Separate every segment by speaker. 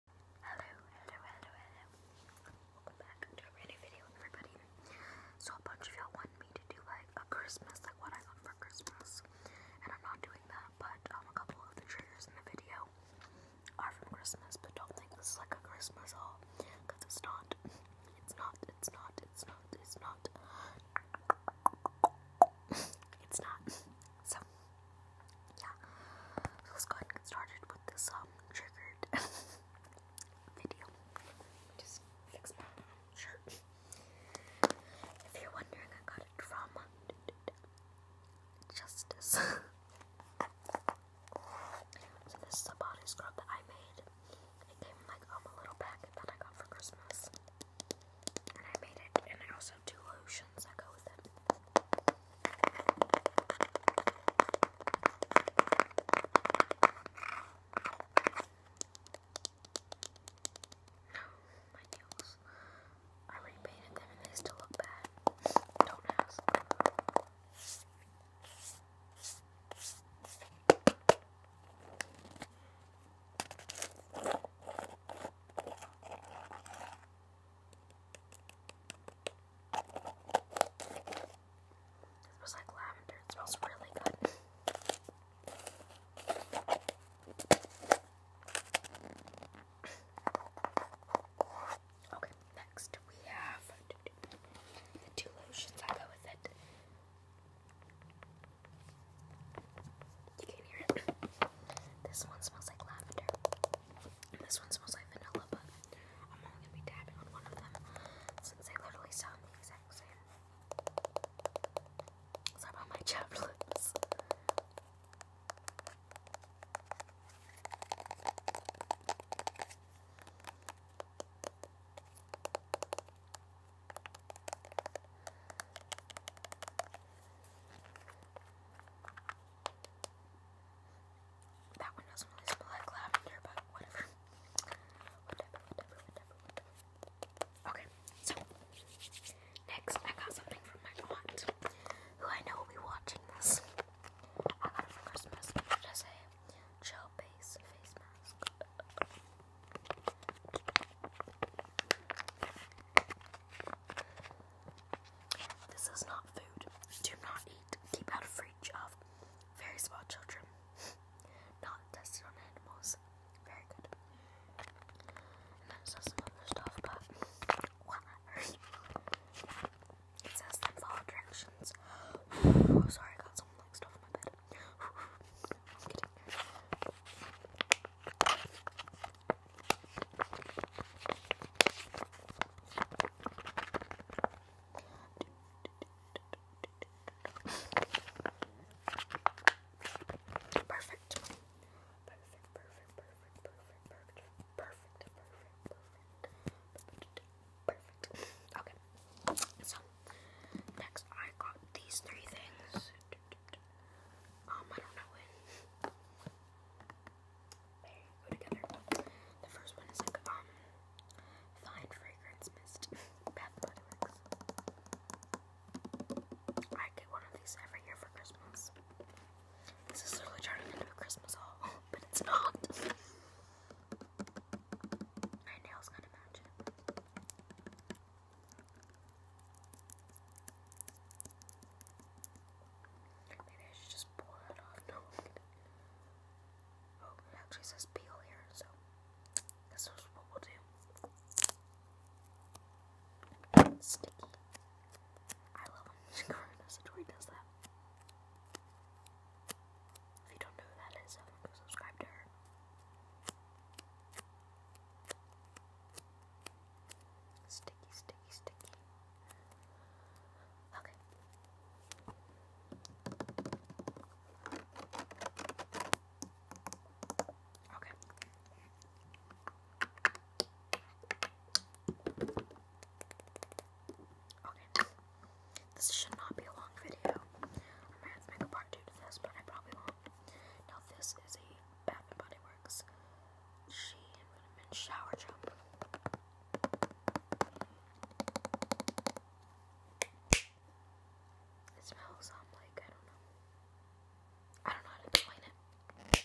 Speaker 1: Hello, hello, hello, hello. Welcome back to a brand new video, everybody. So a bunch of y'all want me to do like a Christmas, like what I got for Christmas. And I'm not doing that, but um, a couple of the triggers in the video are from Christmas, but don't think this is like a Christmas haul, because it's not. It's not, it's not, it's not, it's not. It's not. So yeah, let's go and get started with this um triggered video. Just fix my shirt. If you're wondering, I got it from Justice. so this is a body scrub that I made. It came like um, a little packet that I got for Christmas, and I made it, and I also two lotions that go with it. No, my nails. I repainted them and they still look bad. Don't ask. It smells like lavender. It smells really good. Okay, next we have the two lotions I go with it. You can hear it. This one smells like lavender. And this one smells like vanilla, but I'm only gonna be dabbing on one of them since they literally sound the exact same. Sorry about my chapped lips. That one doesn't really smell like lavender, but whatever. Okay, so next I got something from my aunt, who I know will be watching this. I got it for Christmas. It is a gel base face mask. This is not food. Do not eat. Keep out of reach of very small children. not tested on animals. Very good. And then it some other stuff, but It says then follow directions. sorry, I got some like stuff on my bed. i kidding. Perfect. Perfect, perfect, perfect, perfect, perfect, perfect, perfect, perfect, Okay. So next I got these three things. Um, I don't know when. They go together. The first one is like, um, fine fragrance mist. Bath Body I get one of these every year for Christmas. This is literally turning into a Christmas haul, but it's not. My nails gotta match Maybe I should just pull that off. No, Oh, it says peel here, so this what we'll do. Sticky. I love when Shikara Nesatory does that. If you don't know that is, go subscribe to her. Sticky, sticky, sticky. Okay. Okay. Okay. This should not be a long video. I might have to make a part two to this, but I probably won't. Now this is a Bath and Body Works. She and Vitamin Shower Jump. It smells um, like I don't know. I don't know how to explain it.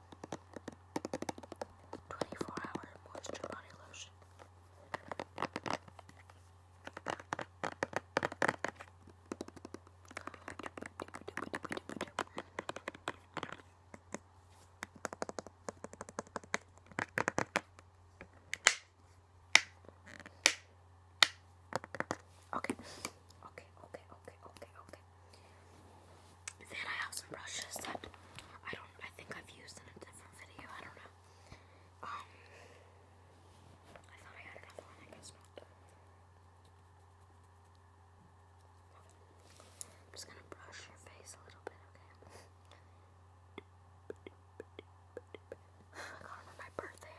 Speaker 1: 24 hour moisture body lotion. Okay, okay, okay, okay, okay, okay. Then I have some brushes that I don't I think I've used in a different video. I don't know. Um I thought I had another one, I guess not. I'm just gonna brush your face a little bit, okay? I got it on my birthday,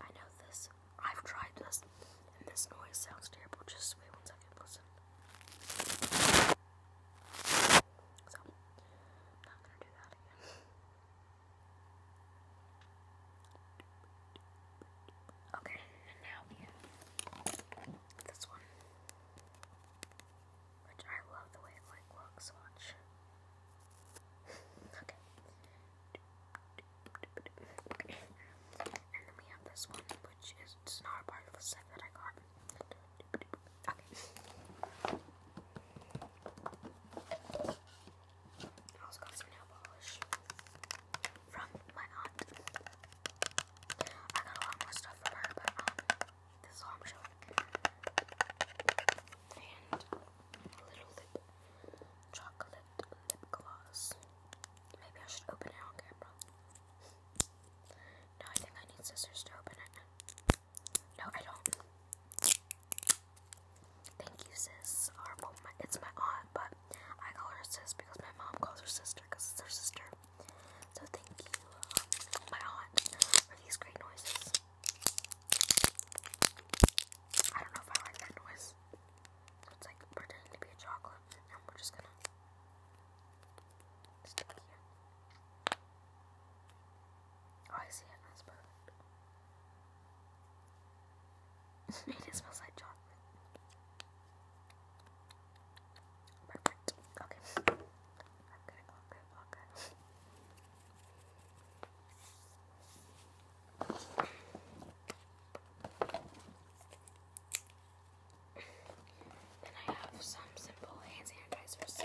Speaker 1: I know this. I've tried this, and this noise sounds terrible. Just wait one second, listen. So, not gonna do that again. Okay, and now we have this one, which I love the way it looks so okay. And then we have this one, which is it's not that I got. Okay. I also got some nail polish from my aunt. I got a lot more stuff from her, but um, this is all I'm showing. And Little Lip Chocolate Lip Gloss. Maybe I should open it on camera. No, I think I need scissors to open it. No, I don't. Thank you, sis. it's my aunt, but I call her sis because my mom calls her sister it's her sister. So thank you, um, my aunt, for these great noises. I don't know if I like that noise. So it's like pretending to be chocolate, and we're just gonna stick here. Oh, I see it. That's perfect. it smells like chocolate. Perfect. Okay. Okay, okay, okay. Then I have some simple hand sanitizers. I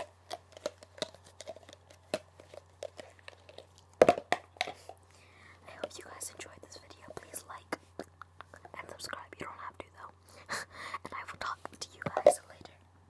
Speaker 1: hope you guys enjoyed this video. Please like and subscribe. You don't have to though. and I will talk to you guys later.